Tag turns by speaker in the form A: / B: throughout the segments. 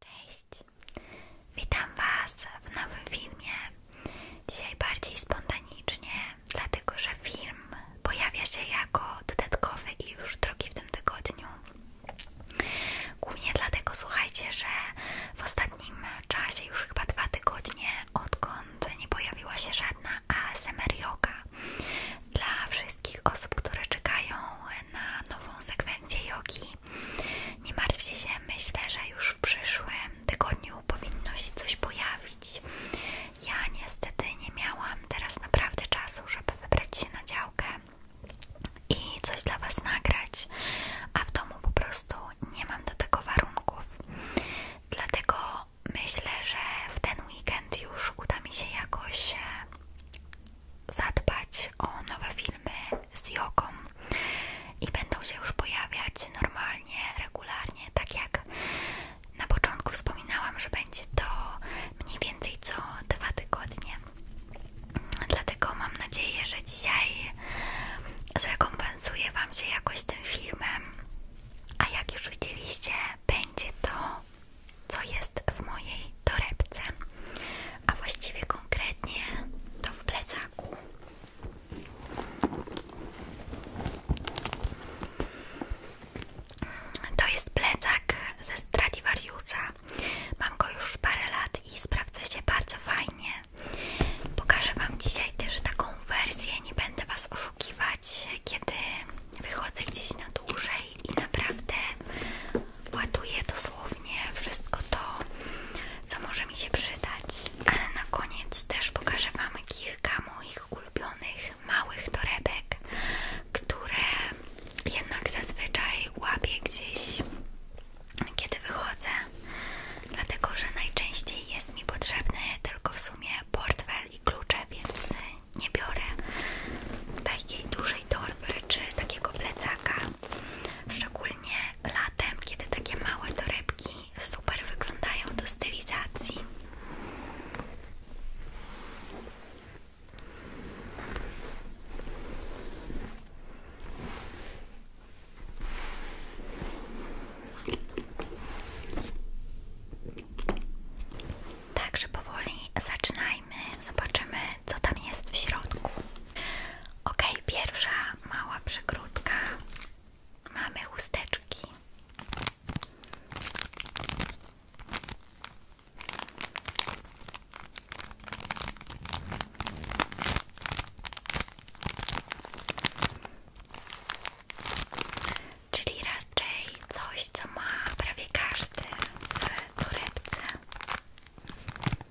A: Cześć, witam Was w nowym filmie. Dzisiaj bardziej spontanicznie, dlatego że film pojawia się jako dodatkowy i już drugi w tym tygodniu. Głównie dlatego, słuchajcie, że w ostatnim czasie, już chyba dwa tygodnie, odkąd nie pojawiła się żadna ASMR yoga dla wszystkich osób, które czekają na nową sekwencję jogi. Nie martwcie się, myślę, że już w przyszłym tygodniu powinno się coś pojawić. Ja niestety nie miałam teraz naprawdę czasu, żeby wybrać się na działkę i coś dla Was nagrać, a w domu po prostu nie mam do tego warunków. Dlatego myślę, że w ten weekend już uda mi się jakoś e, zadbać o nowe filmy, z jogą i będą się już pojawiać normalnie, regularnie, tak jak na początku wspominałam, że będzie to mniej więcej co dwa tygodnie. Dlatego mam nadzieję, że dzisiaj zrekompensuję Wam się jakoś tym filmem. A jak już widzieliście, będzie to, co jest w mojej torebce, a właściwie konkretnie to w plecaku. To jest plecak ze Stradivariusa. Mam go już parę lat i sprawdza się bardzo fajnie. Pokażę Wam dzisiaj też taką wersję, nie będę Was oszukiwać, kiedy wychodzę gdzieś na dłużej i naprawdę ładuję dosłownie wszystko to, co może mi się przydać. Ale na koniec też pokażę Wam kilka moich ulubionych małych torebek, które jednak zazwyczaj łapię gdzieś, kiedy wychodzę. Dlatego, że najczęściej jest mi potrzebny tylko w sumie portfel i klucze, więc nie biorę takiej dużej torby czy takiego plecaka. Szczególnie latem, kiedy takie małe torebki super wyglądają do stylizacji. Także powoli zaczynaj zobaczymy co tam jest w środku. Ok, pierwsza mała przykrótka. Mamy chusteczki. Czyli raczej coś, co ma prawie każdy w torebce.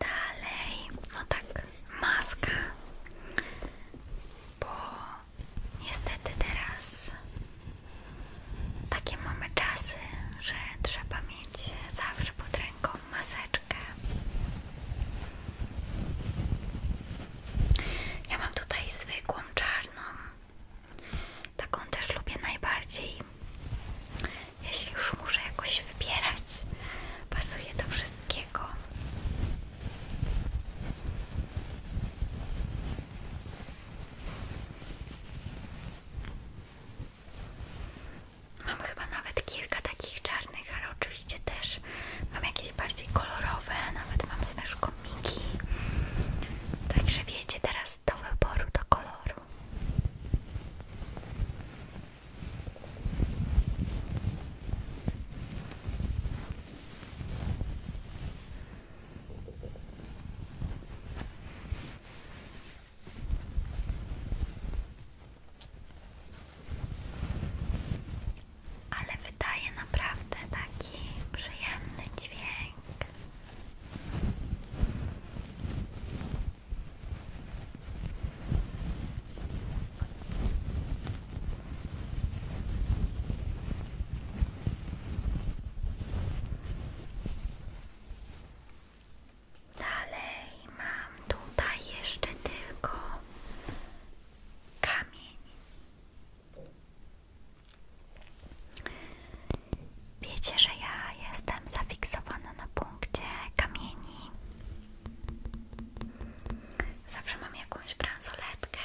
A: Dalej, no tak, maska, bo niestety teraz takie mamy czasy, że trzeba mieć zawsze pod ręką maseczkę. Ja mam tutaj zwykłą czarną. Taką też lubię najbardziej. Jeśli już muszę jakoś wybierać, pasuje do wszystkiego. Mam chyba nawet kilka takich czarnych, ale oczywiście też mam jakieś bardziej kolorowe, nawet mam z myszką Także wiecie, teraz czas do wyboru koloru. Ale wydaje naprawdę taki przyjemny dźwięk. Dalej mam tutaj jeszcze tylko kamień. Wiecie, że ja jestem zafiksowana na punkcie kamieni. Zawsze mam jakąś bransoletkę.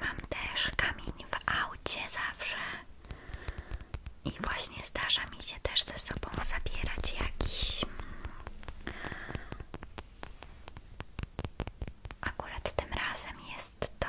A: Mam też kamień w aucie zawsze. I właśnie zdarza mi się też ze sobą zabierać jakiś. Mm, akurat tym razem jest to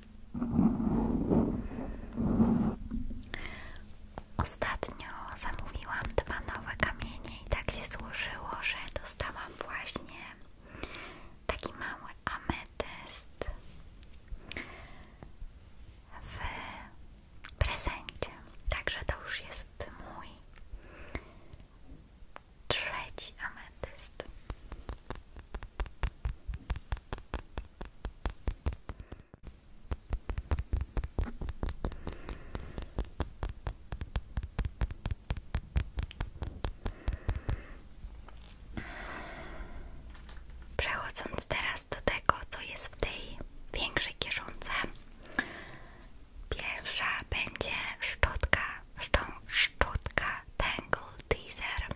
A: Ostatnio zamówiłam dwa nowe kamienie i tak się złożyło, że dostałam właśnie taki mały ametyst w prezencie. Także to już jest mój trzeci ametyst. Przechodząc teraz do tego, co jest w tej większej kieszonce, pierwsza będzie szczotka, szczą, szczotka Teaser.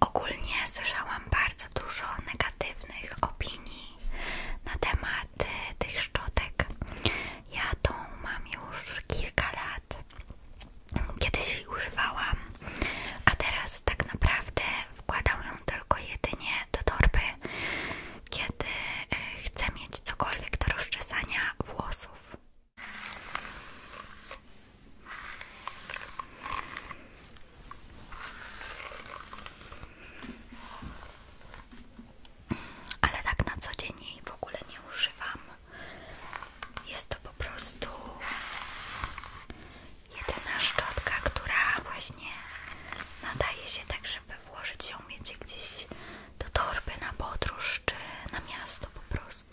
A: Ogólnie słyszałam bardzo dużo negatywnych opinii na temat y, tych szczotek. Ja tą mam już kilka lat. Kiedyś jej używałam, a teraz tak naprawdę wkładam ją tylko jedynie do torby, kiedy e, chcę mieć cokolwiek do rozczesania włosów. Ale tak na co dzień jej w ogóle nie używam. Jest to po prostu jedyna szczotka, która właśnie nadaje się tak, żeby włożyć ją, mieć gdzieś do torby na podróż czy na miasto po prostu.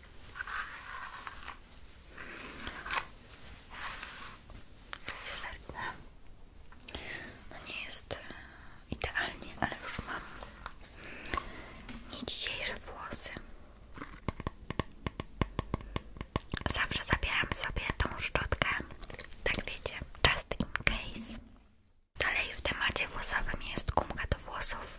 A: Cezarne. No nie jest e, idealnie, ale już mam nie dzisiejsze włosy. Zawsze zabieram sobie tą szczotkę, tak wiecie, just in case. Dalej w temacie włosowym jest gumka do włosów.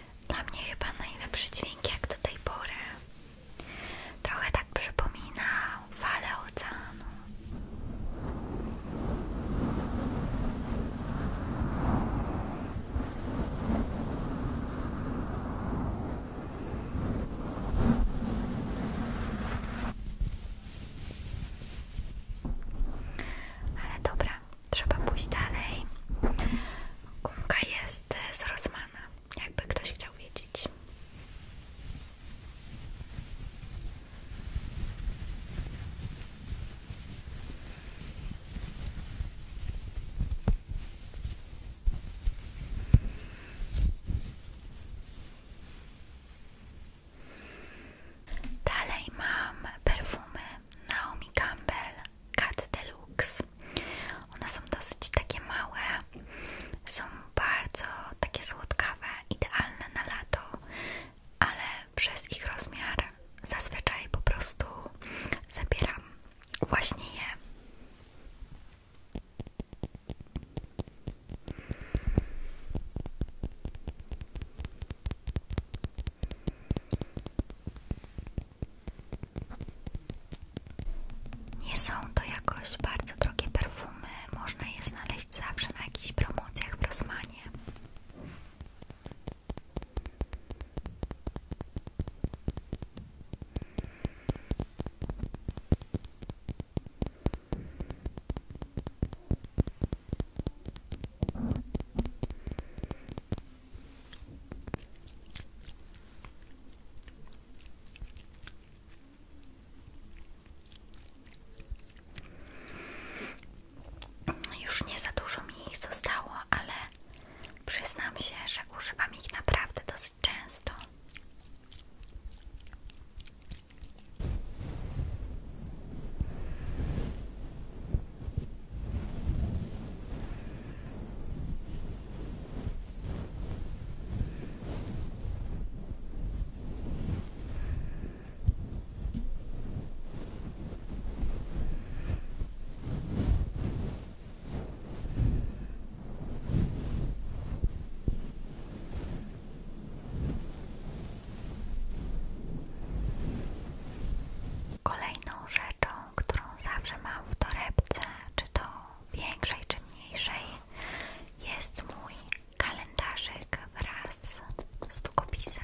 A: Dla mnie chyba najlepszy dźwięk jak do tej pory. Trochę tak przypomina fale oceanu. Ale dobra, trzeba pójść dalej. Gumka jest jest z jakby ktoś chciał wiedzieć. Dalej mam perfumy Naomi Campbell Cat Deluxe. One są dosyć takie małe, są bardzo takie słodkawe, idealne na lato, ale przez ich rozmiar zazwyczaj po prostu zabieram właśnie je. Nie są to jakoś bardzo drogie perfumy, można je znaleźć zawsze na jakichś promocjach w Rosmanie. Już nie za dużo mi ich zostało, ale przyznam się, że używam ich naprawdę dosyć często. Kolejną rzeczą, którą zawsze mam w torebce, czy to większej, czy mniejszej, jest mój kalendarzyk wraz z długopisem.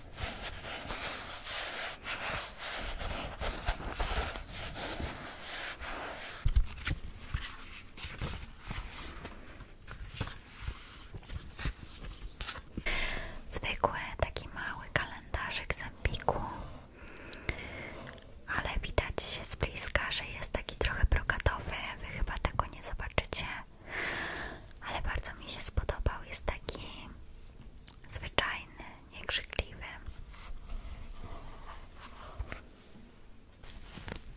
A: Zwykły taki mały kalendarzyk z Empiku, ale widać się z bliska, że jest taki trochę brokatowy. Wy chyba tego nie zobaczycie, ale bardzo mi się spodobał. Jest taki zwyczajny, niekrzykliwy.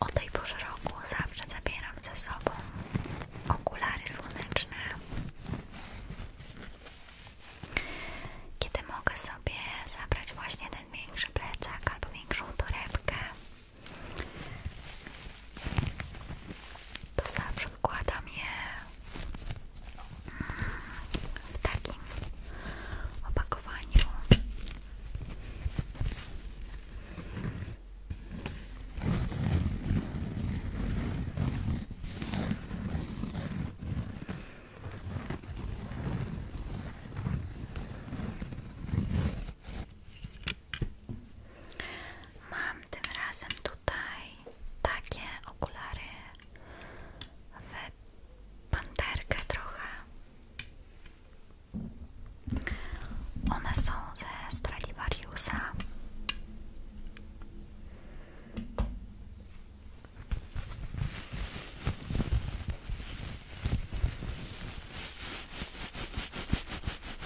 A: O tej porze roku zawsze zabieram ze sobą okulary słoneczne. Kiedy mogę sobie zabrać właśnie ten większy plecak albo większą torebkę, to zawsze wkładam je mm, w takim opakowaniu. Mam tym razem tutaj takie okulary w panterkę trochę. One są ze Stradivariusa.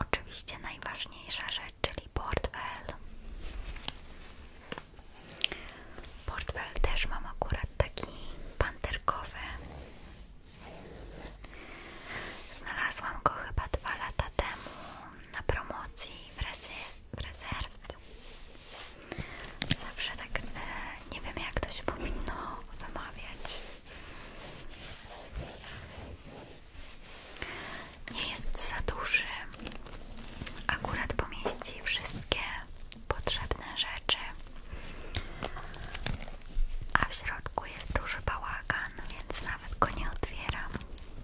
A: Oczywiście najważniejsza rzecz, czyli portfel. Portfel też mam akurat taki panterkowy. Znalazłam go chyba dwa lata temu na promocji w, rezy, w rezerw. Zawsze tak e, nie wiem jak to się powinno wymawiać. Nie jest za duży. Akurat pomieści wszystkie potrzebne rzeczy. A w środku jest duży bałagan, więc nawet go nie otwieram.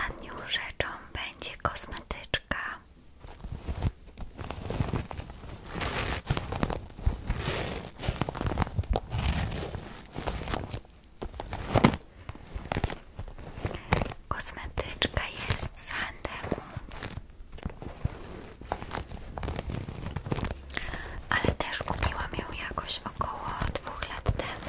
A: Ostatnią rzeczą będzie kosmetyczka. Kosmetyczka jest z handemu, ale też kupiłam ją jakoś około dwóch lat temu.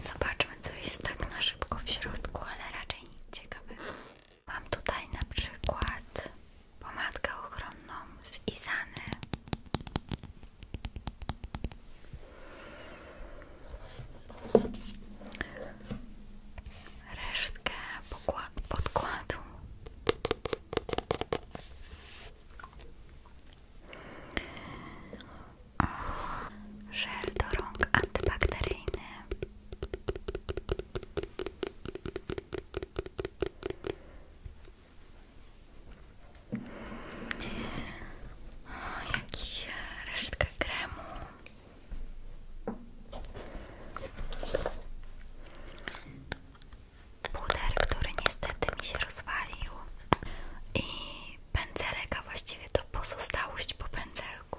A: Zobaczmy, co jest tak na szybko w środku, ale raczej nie, ciekawego. Mam tutaj na przykład pomadkę ochronną z Izany. Resztkę pokładu podkładu. O, żel do rąk antybakteryjny. jakiś e, resztka kremu. Puder, który niestety mi się rozwalił i pędzelek, a właściwie to pozostałość po pędzelku.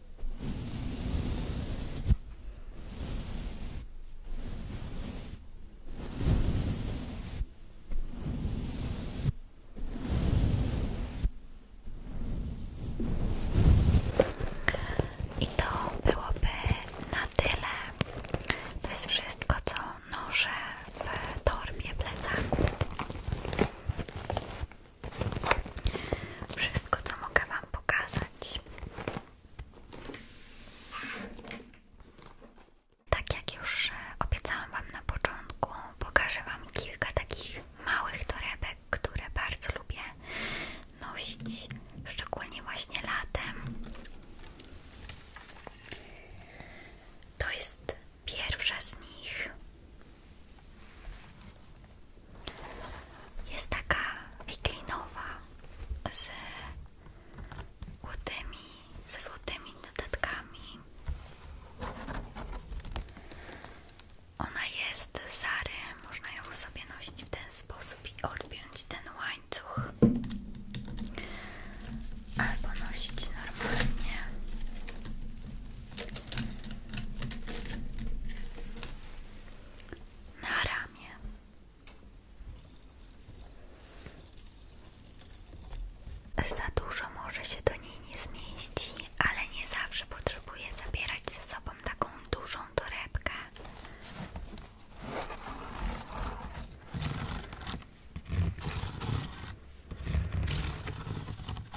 A: I to byłoby na tyle. To jest wszystko, co noszę w torbie plecaku wszystko co mogę Wam pokazać. Tak jak już e, obiecałam Wam na początku, pokażę Wam kilka takich małych torebek, które bardzo lubię nosić, szczególnie właśnie latem. To jest pierwsza z nich. Jest taka wiklinowa z złotymi, ze złotymi dodatkami. Ona jest z Zary, można ją sobie nosić w ten sposób i odbić ten łańcuch. Albo nosić normalnie na ramię. Za dużo może się do niej nie zmieści, ale nie zawsze potrzebuje zabierać ze sobą taką dużą torebkę.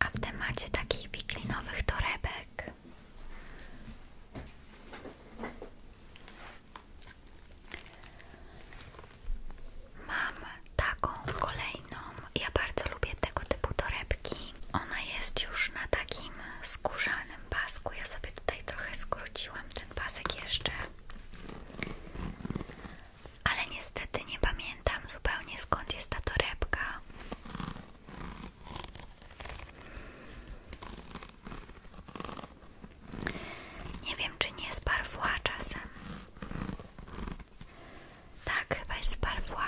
A: A w temacie takich wiklinowych torebek mam taką kolejną. Ja bardzo lubię tego typu torebki. Ona jest już na takim skórzanym pasku. Ja sobie tutaj trochę skróciłam ten pasek jeszcze. Ale niestety nie pamiętam zupełnie skąd jest ta torebka. Nie wiem, czy nie z parfua czasem. Tak, chyba jest z parfua.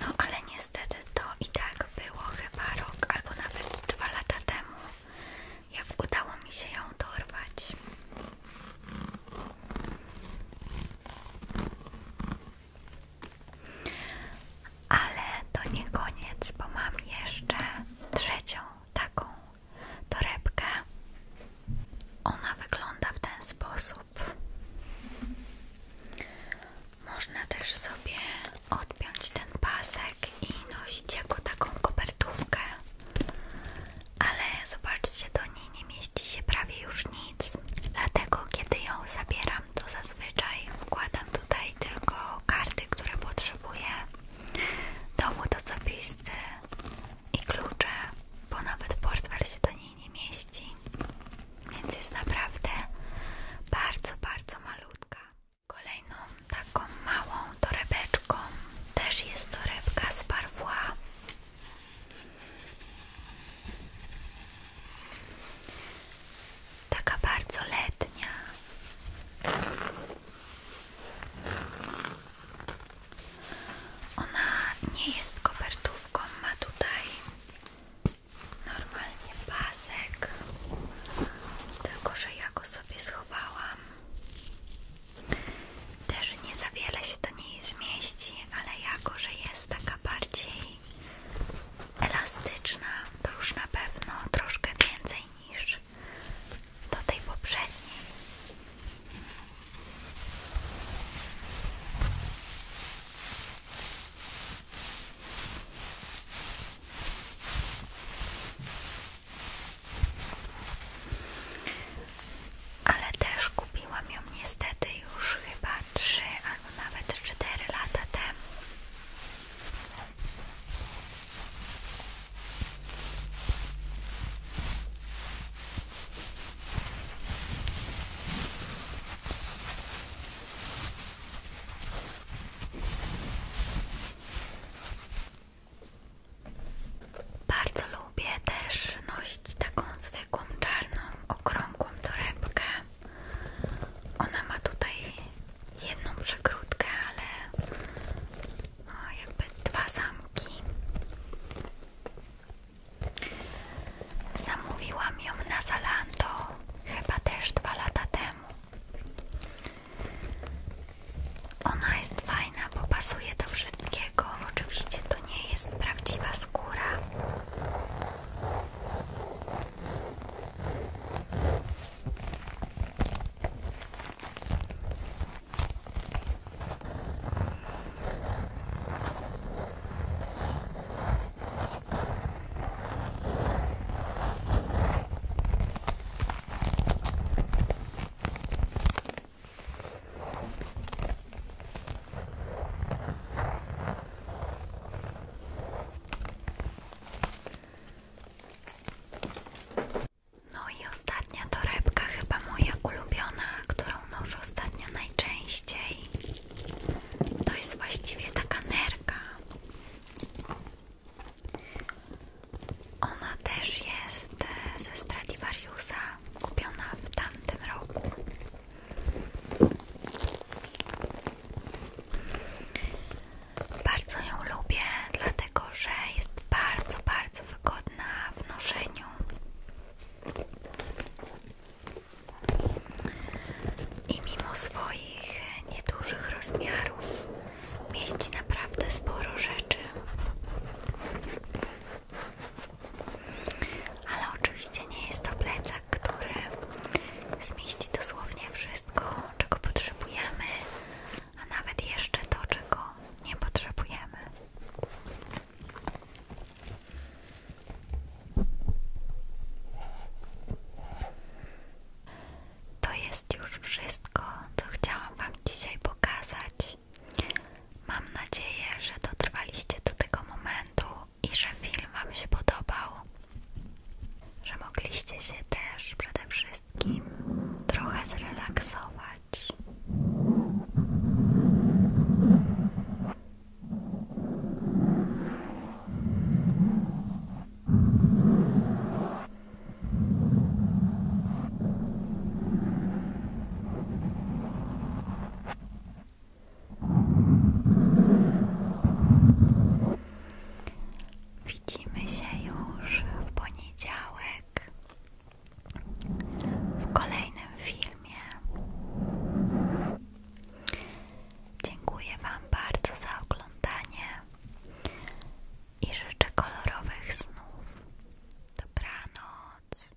A: No, ale niestety to i tak było chyba rok albo nawet dwa lata temu, jak udało mi się ją dorwać. Ale to nie koniec, bo mam jeszcze trzecią taką torebkę. Ona wygląda w ten sposób. Można też sobie odpiąć ten pasek i nosić jako taką kopertówkę. Ale zobaczcie, do nie mieści się prawie już nic, dlatego kiedy ją zabieram, to zazwyczaj układam tutaj tylko karty, które potrzebuję, dowód osobisty i klucze, bo nawet portfel się do niej nie mieści, więc jest naprawdę bardzo, bardzo malutka. Kolejną taką małą torebeczką też jest torebka z Parfum Taka bardzo letnia. Ona nie jest kopertówką, ma tutaj normalnie pasek, tylko że ja go sobie schowałam. Też nie za wiele się to nie zmieści, ale jako, że jest taka bardziej elastyczna, to już na pewno troszkę więcej niż do tej poprzedniej. Ale też kupiłam ją niestety już chyba 3 albo nawet 4 lata temu. Bardzo lubię też nosić taką z zwykłą czarną, okrągłą torebkę. Ona ma tutaj jedną przekrótkę, ale no, jakby dwa zamki. Zamówiłam ją na Zalando chyba też dwa lata temu. Ona jest fajna, bo pasuje do wszystkiego. Oczywiście do nie jest prawdziwa skóra. No i ostatnia torebka, chyba moja ulubiona, którą noszę ostatnio najczęściej. To jest właściwie taka nerka. Ona też jest e, ze Stradivariusa, kupiona w tamtym roku. Bardzo ją lubię, dlatego że jest bardzo, bardzo wygodna w noszeniu. I mimo swoich niedużych rozmiarów mieści naprawdę sporo rzeczy. Ale oczywiście nie jest to plecak, który zmieści dosłownie wszystko, czego potrzebujemy, a nawet jeszcze to, czego nie potrzebujemy. To jest już wszystko, co chciałam Wam dzisiaj pokazać. Mam nadzieję, że dotrwaliście do tego momentu i że film Wam się podobał, że mogliście się też przede wszystkim trochę zrelaksować. Widzimy się już w poniedziałek w kolejnym filmie. Dziękuję Wam bardzo za oglądanie i życzę kolorowych snów. Dobranoc.